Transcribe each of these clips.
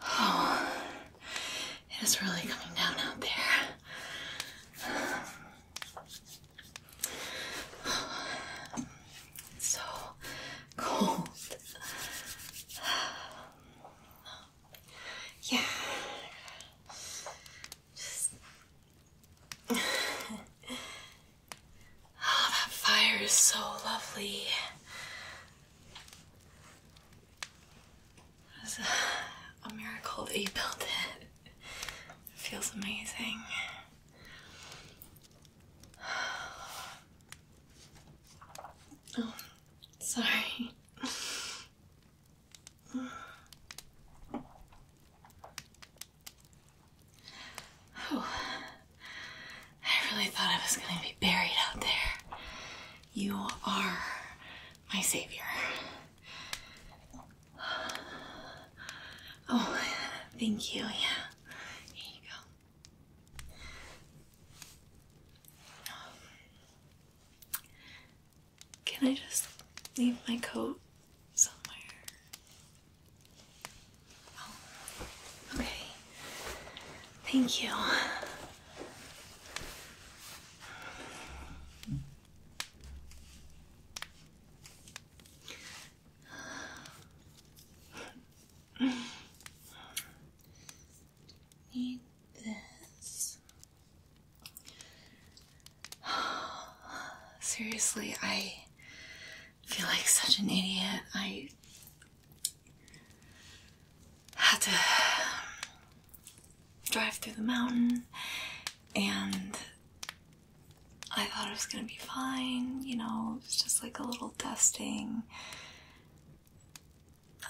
Oh, it is really coming down out there. so cold. Yeah. Oh, that fire is so lovely. It was a miracle that you built it. It feels amazing. Oh, sorry. Oh, I really thought I was going to be buried out there. You are my savior. Oh, thank you. Yeah. Here you go. can I just leave my coat somewhere? Oh. okay. Thank you. Need this. Seriously, I feel like such an idiot. I had to drive through the mountain and I thought it was gonna be fine, you know, it was just like a little dusting.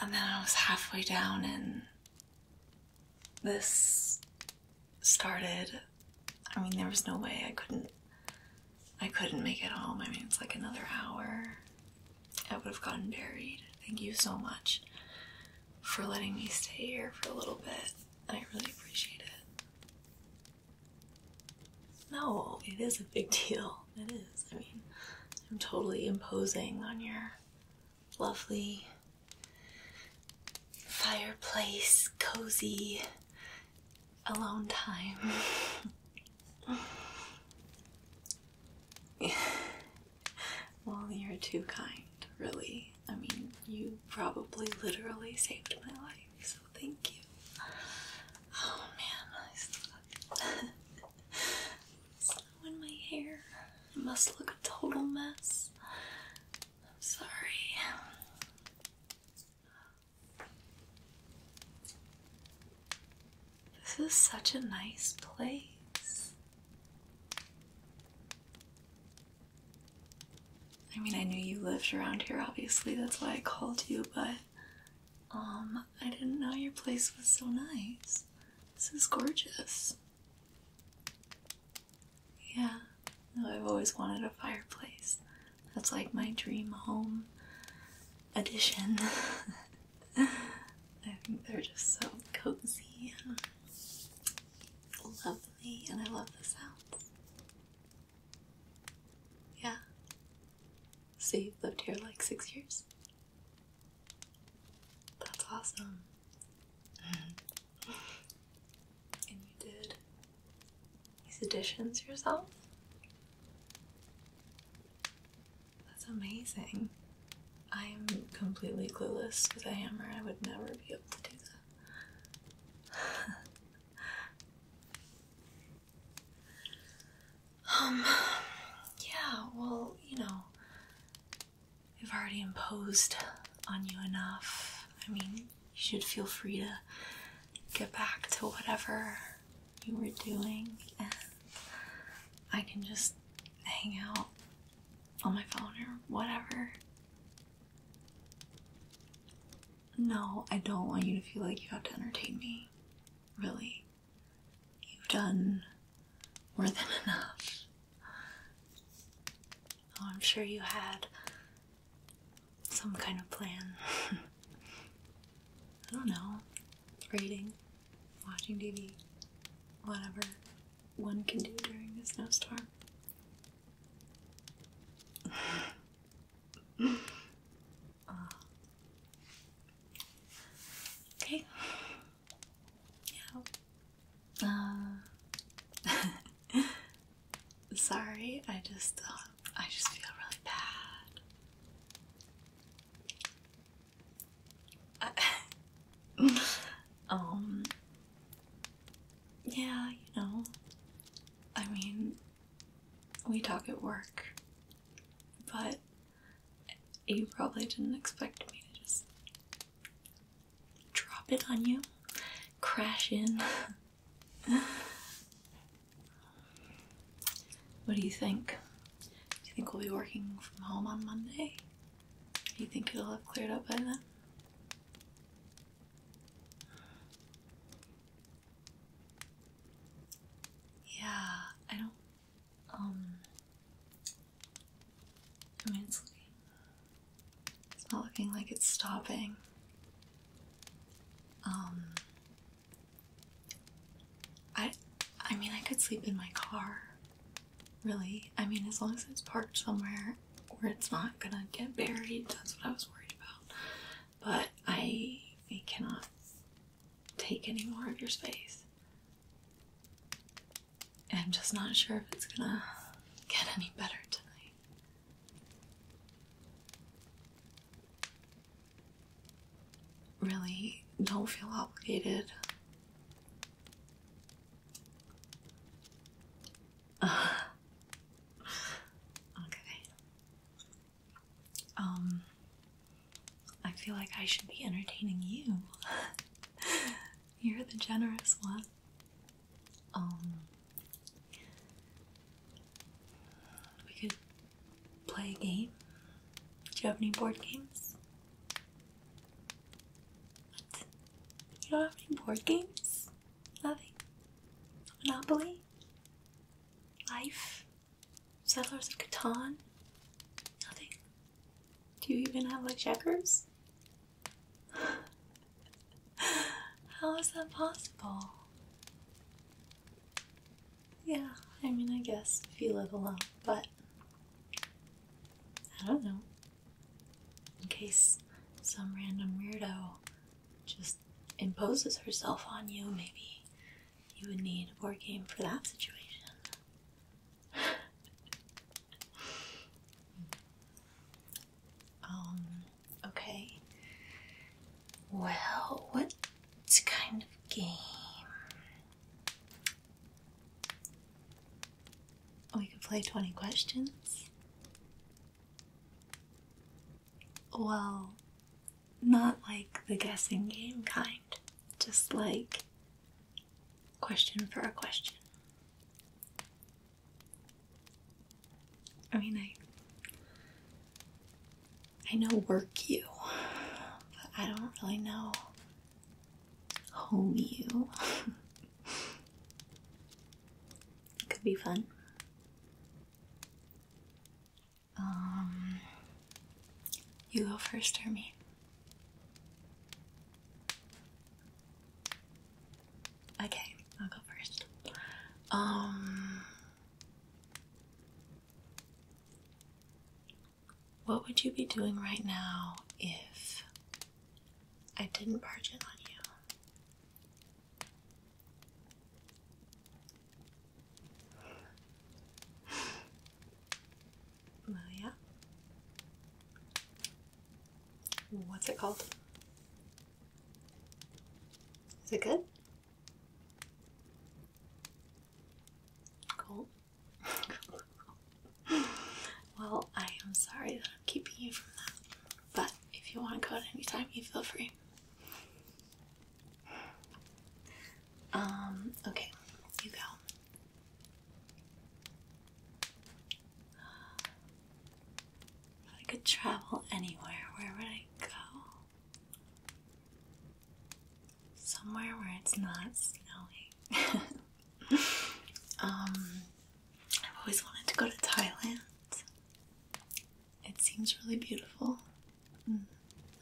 And then I was halfway down and this started. I mean, there was no way I couldn't I couldn't make it home. I mean, it's like another hour. I would have gotten buried. Thank you so much for letting me stay here for a little bit. I really appreciate it. No, it is a big deal. It is. I mean, I'm totally imposing on your lovely fireplace, cozy alone time. well, you're too kind, really. I mean, you probably literally saved my life, so thank you. Oh man, I stuck. Snow in my hair. I must look a total mess. I'm sorry. This is such a nice place. I mean, I knew you lived around here, obviously, that's why I called you, but um, I didn't know your place was so nice. This is gorgeous. Yeah, I've always wanted a fireplace. That's like my dream home edition. I think they're just so cozy and lovely, and I love the sounds. Yeah. So you've lived here like six years? That's awesome. Mm-hmm. and you did these additions yourself? That's amazing. I am completely clueless with a hammer. I would never be able to do that. um, yeah, well, you know, I've already imposed on you enough. I mean, you should feel free to get back to whatever you were doing, I can just hang out on my phone or whatever. No, I don't want you to feel like you have to entertain me. Really. You've done more than enough. Oh, I'm sure you had some kind of plan. I don't know. Reading, watching TV, whatever one can do during this snowstorm. Uh, okay. Yeah. Uh, sorry, I just uh, I just feel really bad um, yeah, you know, I mean, we talk at work, but you probably didn't expect me to just drop it on you, crash in. What do you think? Do you think we'll be working from home on Monday? Do you think it'll have cleared up by then? Yeah, I don't. Um, I mean, it's not looking like it's stopping. Um, I I mean I could sleep in my car. Really. I mean as long as it's parked somewhere or it's not gonna get buried, that's what I was worried about. But I, cannot take any more of your space. I'm just not sure if it's gonna get any better tonight. Really don't feel obligated. okay. Um, I feel like I should be entertaining you. You're the generous one. Um, we could play a game. Do you have any board games? You don't have any board games? Nothing? Monopoly? Life? Settlers of Catan? Nothing? Do you even have like checkers? How is that possible? Yeah, I mean, I guess if you live alone, but I don't know. In case some random weirdo just imposes herself on you, maybe you would need a board game for that situation. um, Okay. Well, what kind of game? We oh, could play 20 questions. Well, not like the guessing game kind, just like question for a question. I mean, I I know work you, but I don't really know home you. it could be fun. Um, you go first or Okay, I'll go first. Um, what would you be doing right now if I didn't barge in on you? Well, yeah. What's it called? Is it good? Cool. well, I am sorry that I'm keeping you from that, but if you want to go at any time, you feel free. Um, okay, you go. If I could travel anywhere, where would I go? Somewhere where it's not snowing. um, I've always wanted to go to Thailand. It seems really beautiful. Mm.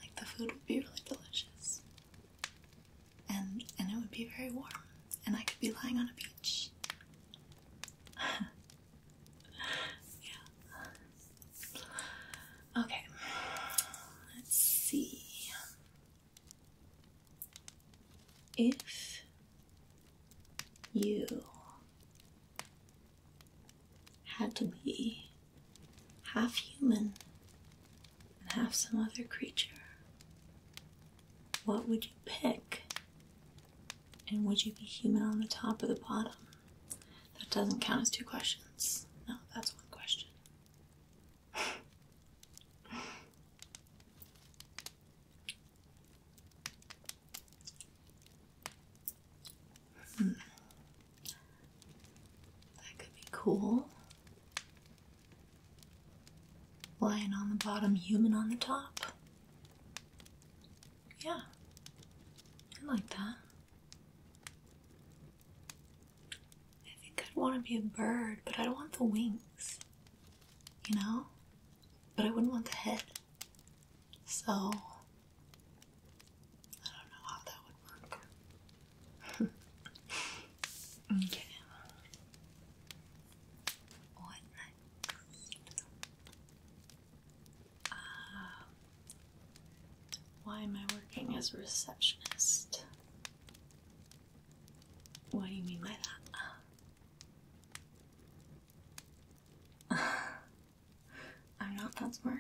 Like the food would be really delicious. And and it would be very warm. And I could be lying on a beach. yeah. Okay. Let's see. If you had to be half human and half some other creature, what would you pick and would you be human on the top or the bottom? That doesn't count as two questions. No, that's one question. hmm. That could be cool. Lion on the bottom, human on the top. Yeah, I like that. I think I'd want to be a bird, but I don't want the wings, you know? But I wouldn't want the head. So, I don't know how that would work. okay. Um, why am I working as a receptionist? What do you mean by that? I'm not that smart.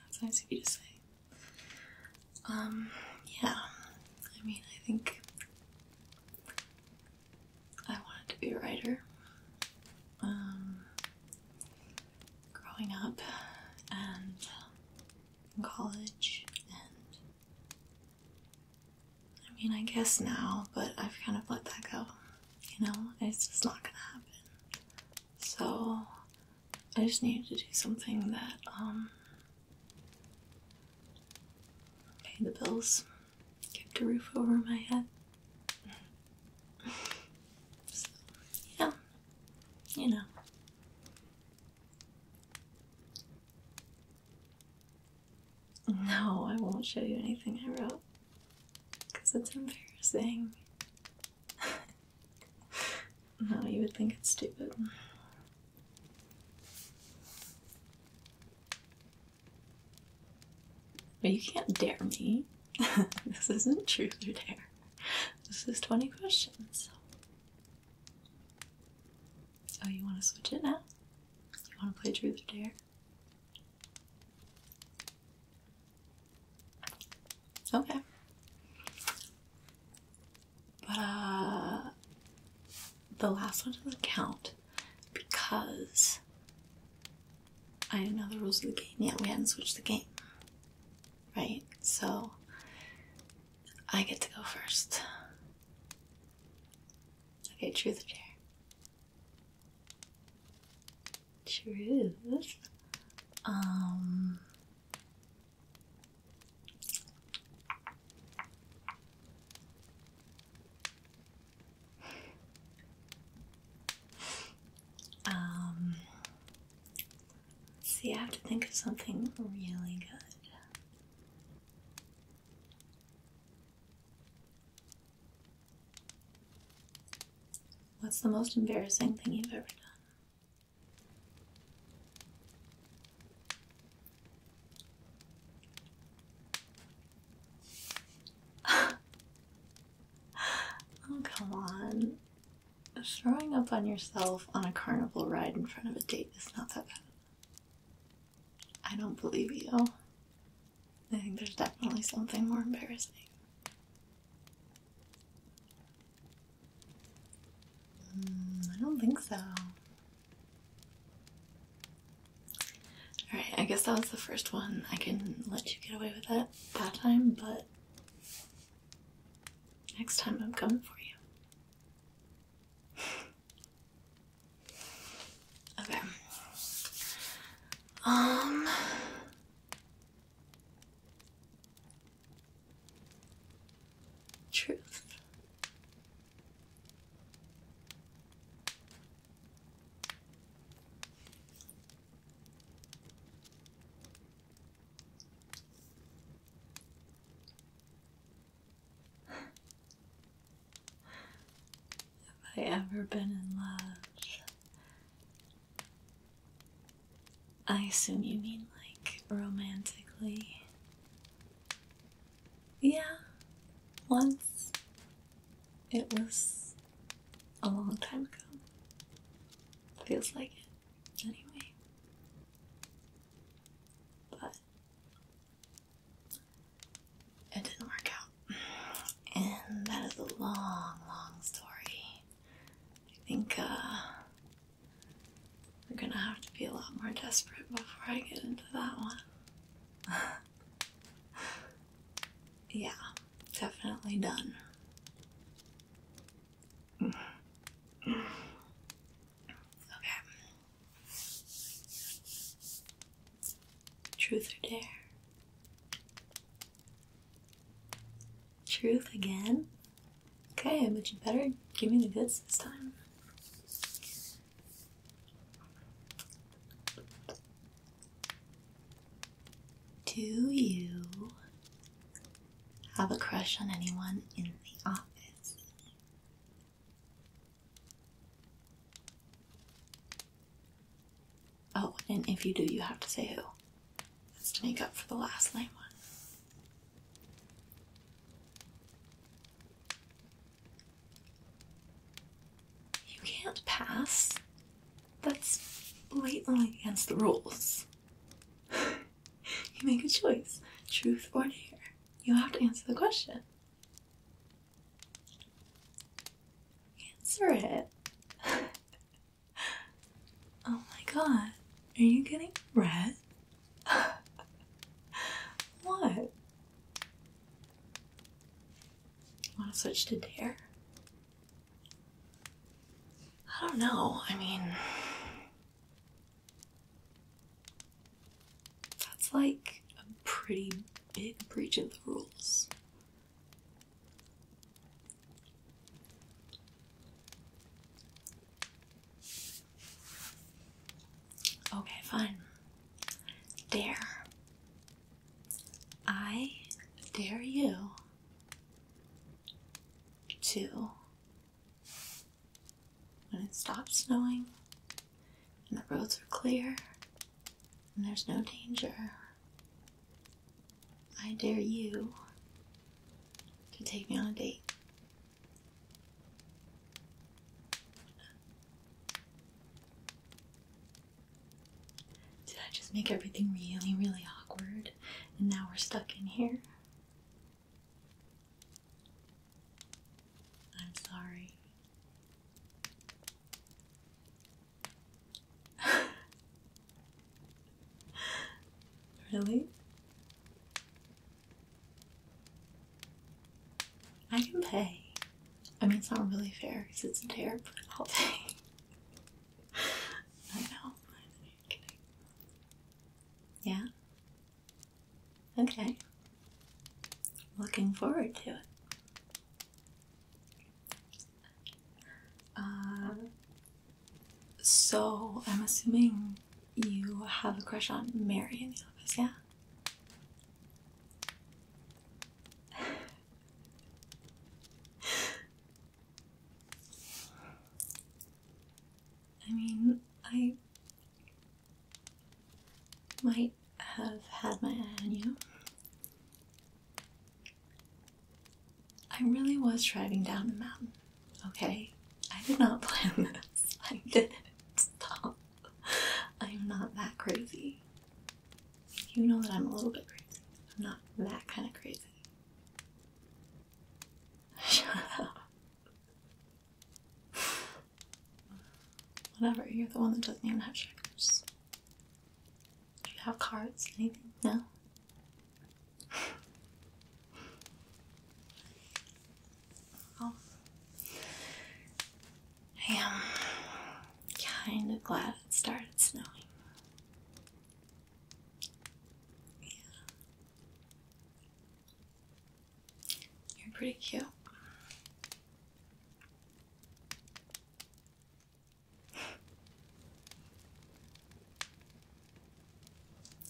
That's nice of you to say. Um, yeah. I mean, I think I wanted to be a writer um, growing up and in um, college, and I mean, I guess now, but I've kind of let that go. You know, it's just not gonna happen. So I just needed to do something that um Okay, the bills kept the roof over my head. yeah, you know. No, I won't show you anything I wrote. Because it's embarrassing. no, you would think it's stupid. But you can't dare me. this isn't truth or dare. This is 20 questions. Oh, you want to switch it now? You want to play truth or dare? Okay. But uh, the last one doesn't count because I didn't know the rules of the game yet. We hadn't switched the game. Right? So I get to go first. Okay, truth or dare? Truth. Um um, see, I have to think of something really good. What's the most embarrassing thing you've ever done? oh, come on. Throwing up on yourself on a carnival ride in front of a date is not that bad. I don't believe you. I think there's definitely something more embarrassing. Hmm, I don't think so. Alright, I guess that was the first one. I can let you get away with that that time, but next time I'm coming for you. okay. Um. Truth. Have I ever been in love? I assume you mean like romantically. Yeah, once. It was a long time ago. Feels like it, anyway. But it didn't work out. And that is a long, long story. I think, uh, we're gonna have to be a lot more desperate before I get into that one. yeah, definitely done. okay. Truth or dare? Truth again? Okay, but you better give me the goods this time. Do you have a crush on anyone in the office? Oh, and if you do, you have to say who. That's to make up for the last lame one. You can't pass. That's blatantly against the rules. you make a choice truth or dare. You have to answer the question. Answer it. oh my god. Are you getting red? what? Want to switch to dare? I don't know. I mean, that's like a pretty big breach of the rules. Okay, fine. Dare. I dare you to, when it stops snowing and the roads are clear and there's no danger, I dare you to take me on a date. Did I just make everything really, really awkward? And now we're stuck in here? I'm sorry. really? I can pay. I mean, it's not really fair because it's a tear, but I'll pay. I know. I'm kidding. Yeah? Okay. Looking forward to it. Uh, so, I'm assuming you have a crush on Mary in the office, yeah? I mean, I might have had my eye on you. I really was driving down the mountain. Okay, I did not plan this. I didn't. Stop. I'm not that crazy. You know that I'm a little bit crazy. I'm not that kind of crazy. Shut up. Whatever, you're the one that doesn't even have checkers. Do you have cards? Anything? No? I am kind of glad it started snowing. Yeah. You're pretty cute.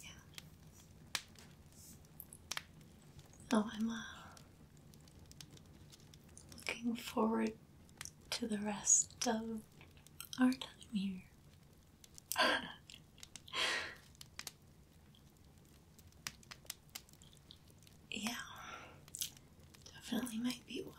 Yeah. Oh, I'm uh, looking forward to the rest of our time here. yeah, definitely might be a while.